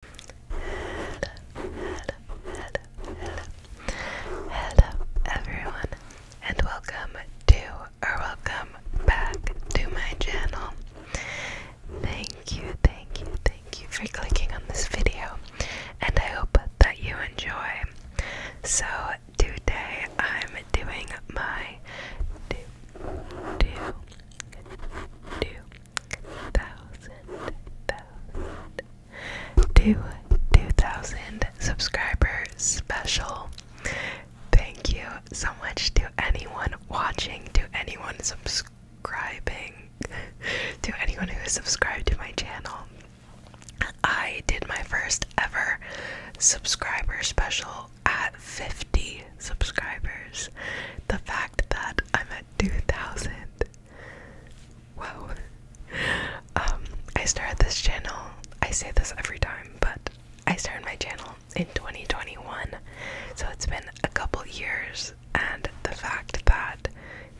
Hello, hello, hello, hello, everyone, and welcome to or welcome back to my channel. Thank you, thank you, thank you for clicking on this video, and I hope that you enjoy. So, today I'm doing my do, do, do, thousand, thousand, two, two thousand subscriber special. Thank you so much to anyone watching, to anyone subscribing, to anyone who is subscribed to my channel. I did my first ever subscriber special at 50 subscribers. The fact that I'm at 2,000 it. Um, I started this channel. I say this every time, but I started my channel in 2021. So it's been a couple years and the fact that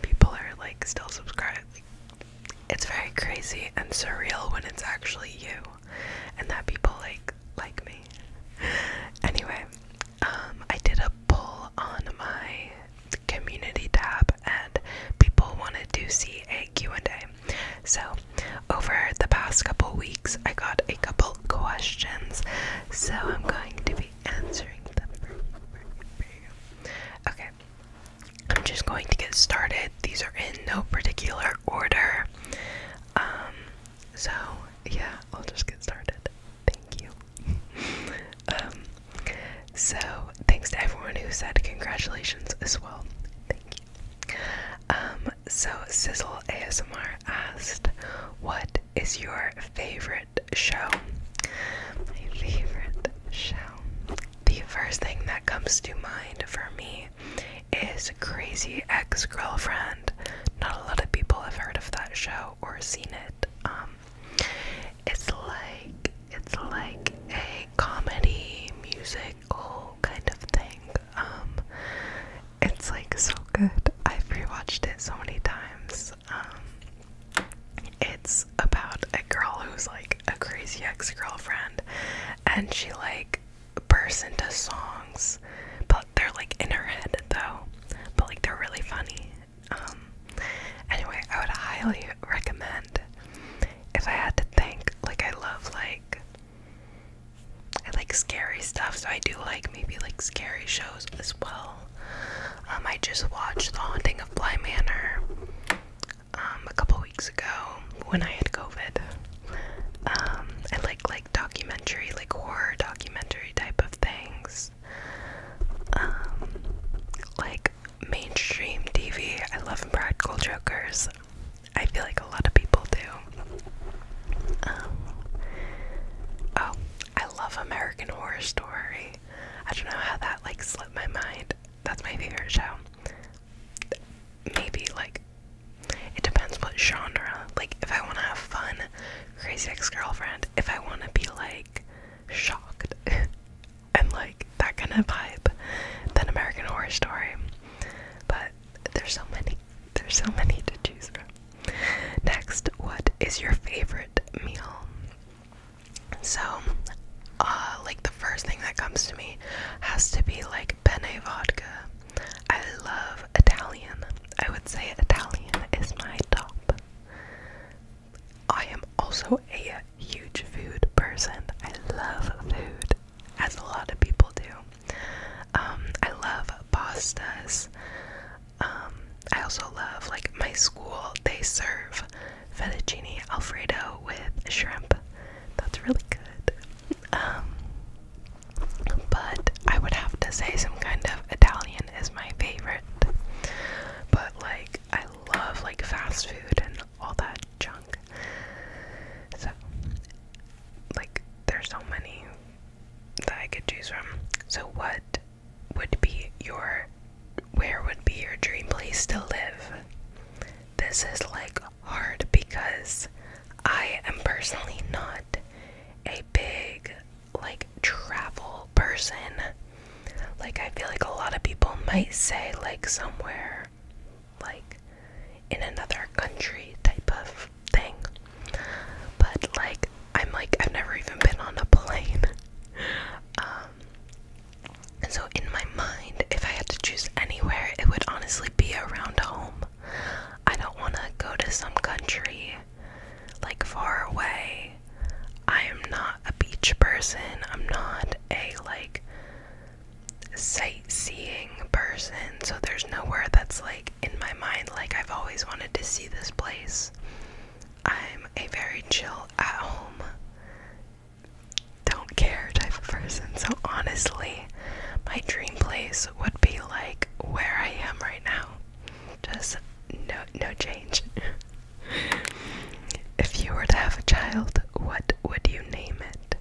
people are like still subscribed it's very crazy and surreal when it's actually you and that people like like me. Anyway, um, I did a poll on my community tab and people wanted to see a Q&A. So over the past couple weeks, I got a couple questions, so I'm going to be answering them. Okay, I'm just going to get started. These are in no particular order. Um, so yeah, I'll just get started. Thank you. Um, so, thanks to everyone who said congratulations as well. Thank you. Um, so, Sizzle ASMR asked, What is your favorite show? My favorite show. The first thing that comes to mind for me is Crazy Ex Girlfriend not a lot of people have heard of that show or seen it. Um, it's like it's like a comedy musical kind of thing. Um, it's like so good. I've rewatched it so many times. Um, it's about a girl who's like a crazy ex girlfriend, and she like bursts into songs, but they're like in her head though, but like they're really funny. Um, anyway, I would highly recommend. If I had to think, like I love like I like scary stuff, so I do like maybe like scary shows as well. Um, I just watched The Haunting of Bly Manor um a couple weeks ago when I had COVID. Um, I like like documentary, like horror documentary type of things. Um, like mainstream TV. I love Practical Jokers. I feel like a lot of people do. Um, oh, I love American Horror Story. I don't know how that like slipped my mind. That's my favorite show. Maybe like it depends what genre. Like if I want to have fun, Crazy Ex Girlfriend if I want to be like shocked and like that kind of vibe than American Horror Story. But there's so many, there's so many to choose from. Next, what is your favorite meal? So, uh, like the first thing that comes to me has to be like penne vodka. I love Italian. I would say Italian is my top I am also a huge food person. I love food, as a lot of people do. Um, I love pastas. Um, I also love like my school. They serve fettuccine alfredo with shrimp. That's really good. Um, but I would have to say some kind of Italian is my favorite. But like I love like fast food and all that junk. So like there's so many that I could choose from. So what would be your where would be your dream place to live? This is like hard because I am personally not a big like travel person. Like I feel like a lot of people might say like somewhere like in another country type of thing. But like I'm like I've never even been on a plane. um and so in my mind if I had to choose anywhere it would honestly be around home. I don't want to go to some country like far away. I am not a beach person. I'm not a like sightseeing person. So there's nowhere that's like in my mind like I've always wanted to see this place. I'm a very chill at home don't care type of person. So honestly, my dream place would be like where I am right now. Just no no change. if you were to have a child, what would you name it?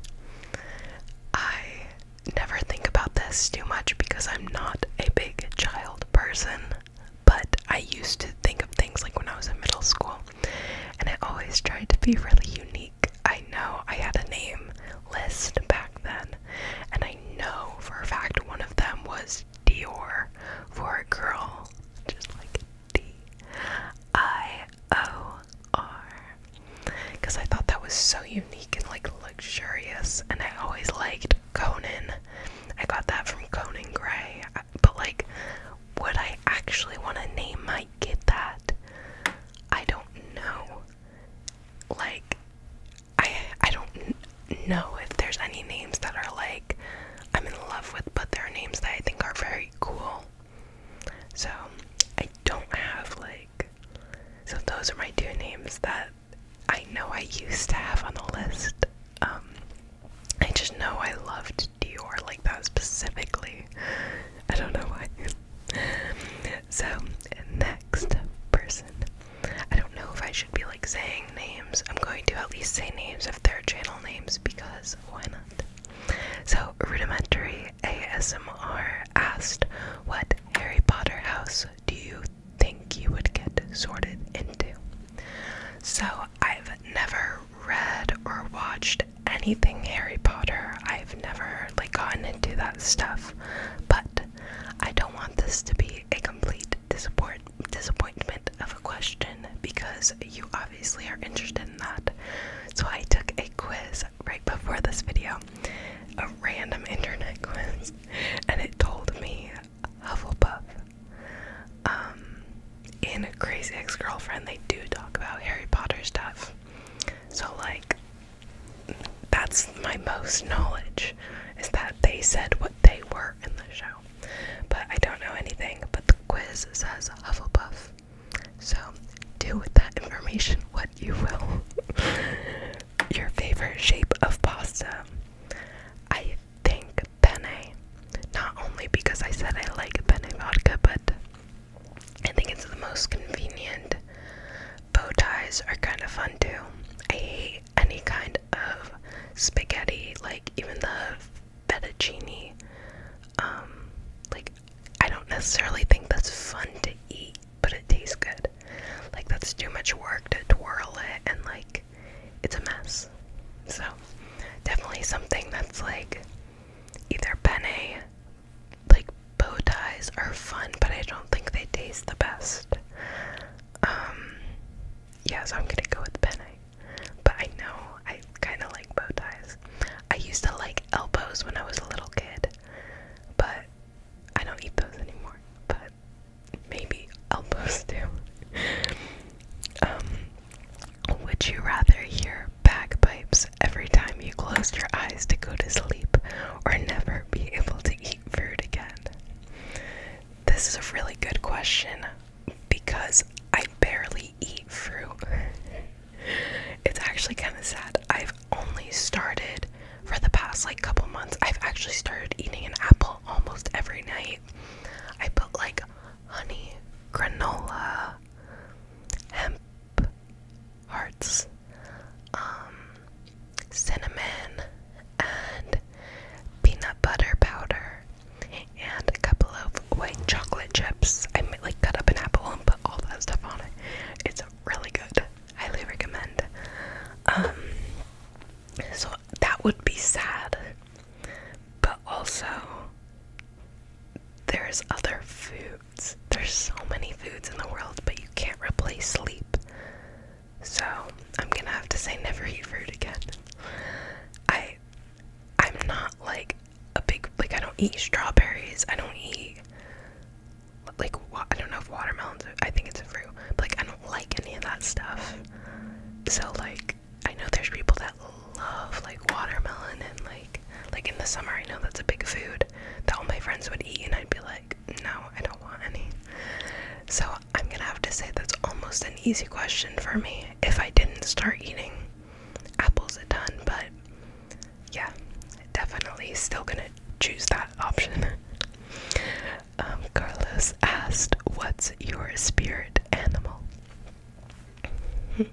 I never think about this too much because I'm not a big child person, but I used to think of things like when I was in middle school, and I always tried to be really unique. I know I had a name list back then, and I know for a fact one of them was Dior for a girl, just like D I O R. Because I thought that was so unique and like luxurious, and I always liked Conan. I got that from Conan Gray, but like, would I actually want to name my kid that? I don't know. Like, I I don't know if there's any names that are like I'm in love with, but there are names that I think are very cool. So I don't have like so those are my two names that I know I used to have on the list. Um, I just know I loved Dior like that specifically. I don't know why. so, and next person. I don't know if I should be like saying names. I'm going to at least say names of their channel names because why not? So, Rudimentary ASMR asked, What Harry Potter house do you think you would get sorted into? So, I've never read or watched anything Harry Potter. I've never like gotten into that stuff. But I don't want this to be a complete disappointment disappointment of a question because you obviously are interested in that. So I took a quiz right before this video, a random internet quiz, and it told me Hufflepuff. Um, in Crazy Ex-Girlfriend, they do talk about Harry Potter stuff. So like, that's my most knowledge, is that they said what they were in the show. But I don't know anything, but the quiz says Hufflepuff. So do with that information what you will. Your favorite shape of pasta. I think penne. Not only because I said I like penne vodka, but I think it's the most convenient. Bow ties are kind of fun too. I hate any kind of spaghetti, like even the fettuccine. Um, like I don't necessarily think that's fun to eat, but it tastes good. Like that's too much work to twirl it, and like it's a mess. So definitely something that's like either penne, like bow ties are fun, but I don't think they taste the best. Um, yeah, so I'm gonna go with penne. But I know I kind of like bow ties. I used to like elbows when I was a little kid, but I don't eat those anymore. But maybe elbows do. um, would you rather hear bagpipes every time you closed your eyes to go to sleep, or never be able to eat food again? This is a really good question because I barely eat fruit. it's actually kind of sad. I've only started for the past like couple months. I've actually started eating an apple almost every night. I put like honey, granola, hemp hearts, um, cinnamon, and peanut butter powder, and a couple of white chocolate chips. I might like cut up an apple and put all that stuff on it. It's really good. Highly recommend. Um, so that would be sad, but also there's other foods. There's so many foods in the world, but you can't replace sleep. So I'm gonna have to say never eat fruit again. I I'm not like a big like I don't eat strawberries. I don't eat like I don't know if watermelons. I think it's a fruit. But, like I don't like any of that stuff. So like I know there's people that love like watermelon and like like in the summer I know that's a big food that all my friends would eat and I'd be like no, I don't want any. So I'm gonna have to say that's almost an easy question for me if I didn't start eating apples a ton, but yeah, definitely still gonna choose that option. Um, Carlos asked, What's your spirit animal?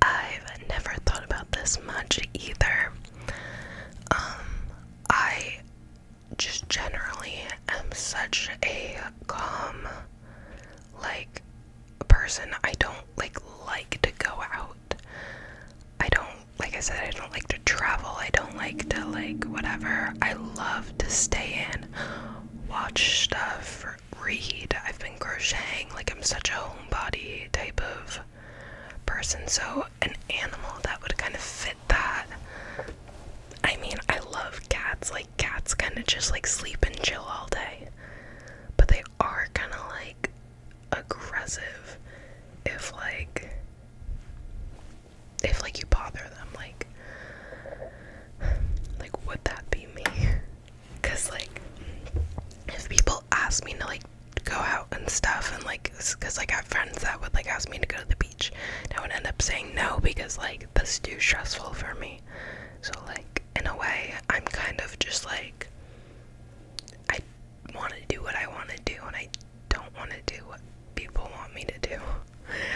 I've never thought about this much either. Um, I just generally am such a calm like person. I don't like like to go out. I don't like I said I don't like to travel. I don't like to like whatever. I love to stay in, watch stuff, read. I've been crocheting. Like I'm such a homebody type of person. So an animal that would kind of fit that. I mean, I love cats. Like, cats kind of just like sleep and chill all day. But they are kind of like aggressive if, like, if like you bother them. Like, like would that be me? Cause like, if people ask me to like go out and stuff, and like, cause I got friends that would like ask me to go to the beach. And I would end up saying no because like that's too stressful for me. So like in a way, I'm kind of just like I want to do what I want to do, and I don't want to do what people want me to do.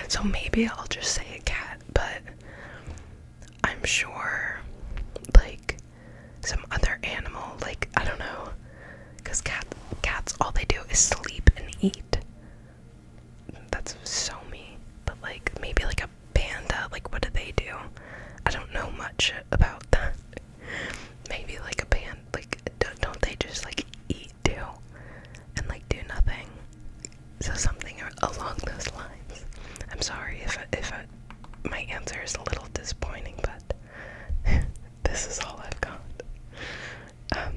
So maybe I'll just say a cat, but I'm sure like some other animal, like I don't know. Because cat, cats, all they do is sleep and eat. That's so me. But like, maybe like a panda, like what do they do? I don't know much about that. Maybe like a panda, like don't, don't they just like eat too? And like do nothing? So something along those lines. I'm sorry if, if my answer is a little disappointing, but this is all I've got. Um,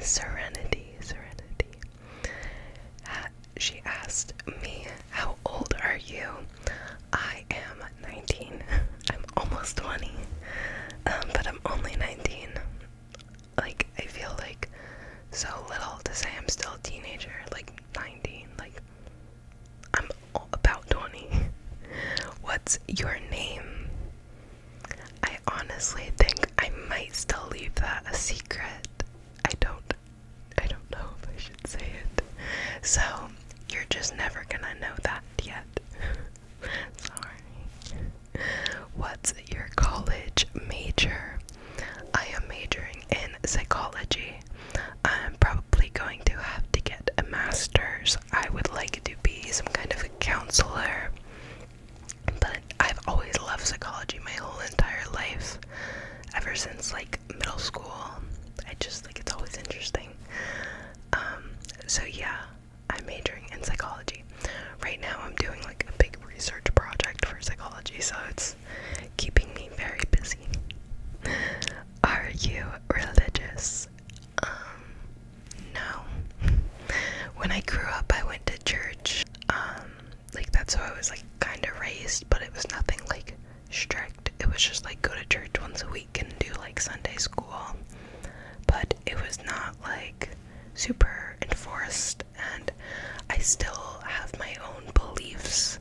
serenity, Serenity. she asked me, How old are you? I am 19. I'm almost 20, um, but I'm only 19. Like, I feel like so little to say I'm still a teenager, like 19. Like, I'm about 20. What's your name? I honestly think I might still leave that a secret. I don't I don't know if I should say it. So you're just never gonna know that yet. Sorry. What's your college major? I am majoring in psychology. I'm probably going to have to get a master's. I would like to be some kind of counselor, but I've always loved psychology my whole entire life. Ever since like middle school, I just like it's always interesting. Um, so yeah, I'm majoring in psychology. Right now, I'm doing like a big research project for psychology, so it's keeping me very busy. Are you religious? Um, no. When I grew up, I went to church. Um, like that's how I was like kind of raised, but it was nothing like strict. It was just like go to church once a week and do like Sunday school. But it was not like super enforced, and I still have my own beliefs.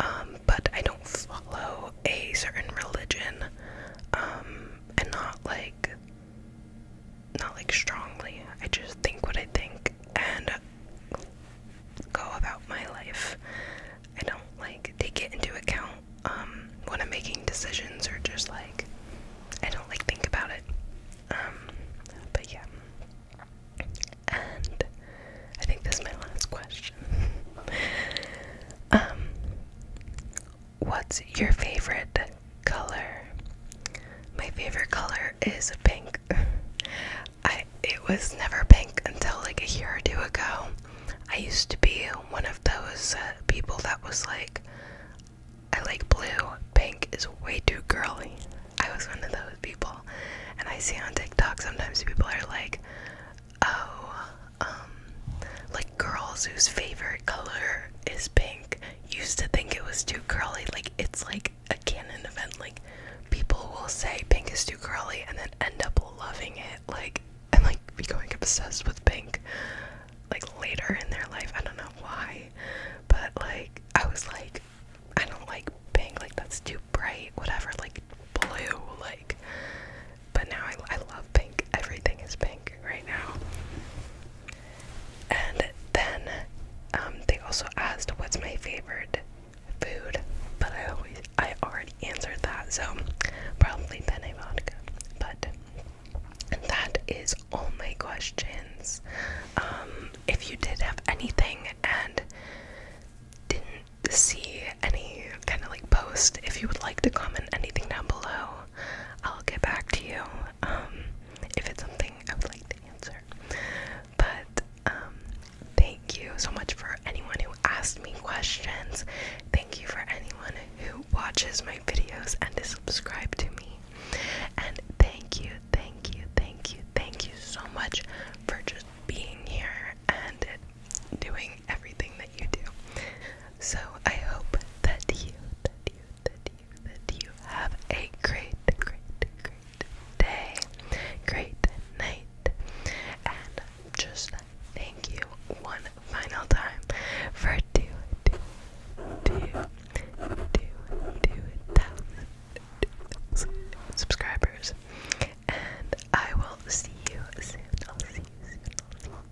Um, but I don't follow a certain religion. Um, and not like not like strongly. I just think what I think and go about my life. I don't like take it into account um, when I'm making decisions or just like I don't like think about it. Um, but yeah. And I think this is my last question. um, What's your favorite color? My favorite color is pink. I it was never pink until like a year or two ago. I used to be one of those uh, people that was like I like blue, pink is way too girly. I was one of those people. And I see on TikTok sometimes people are like, "Oh, um, like girls whose favorite color is pink used to think it was too curly. Like it's like a canon event. Like people will say pink is too curly and then end up loving it. Like and like becoming obsessed with pink. Like later in their life, I don't know why, but like I was like, I don't like pink. Like that's too bright. Whatever. Like blue. Like but now I, I love pink. Everything is pink right now. And then um, they also asked what's my favorite food, but I always I already answered that, so probably penne vodka. But that is all my questions. Um, if you did have anything and didn't see any kind of like post, if you would like to comment anything down below, I'll get back to you um, if it's something I would like to answer. But um, thank you so much for anyone who asked me questions. Thank you for anyone who watches my videos and is subscribed to me. And thank you, thank you, thank you, thank you so much for just being here and doing everything that you do. So I hope that you, that you, that you, that you have a great, great, great day, great night, and just thank you one final time for two, two, two, two, two thousand, two thousand subscribers. And I will see you soon. I'll see you soon.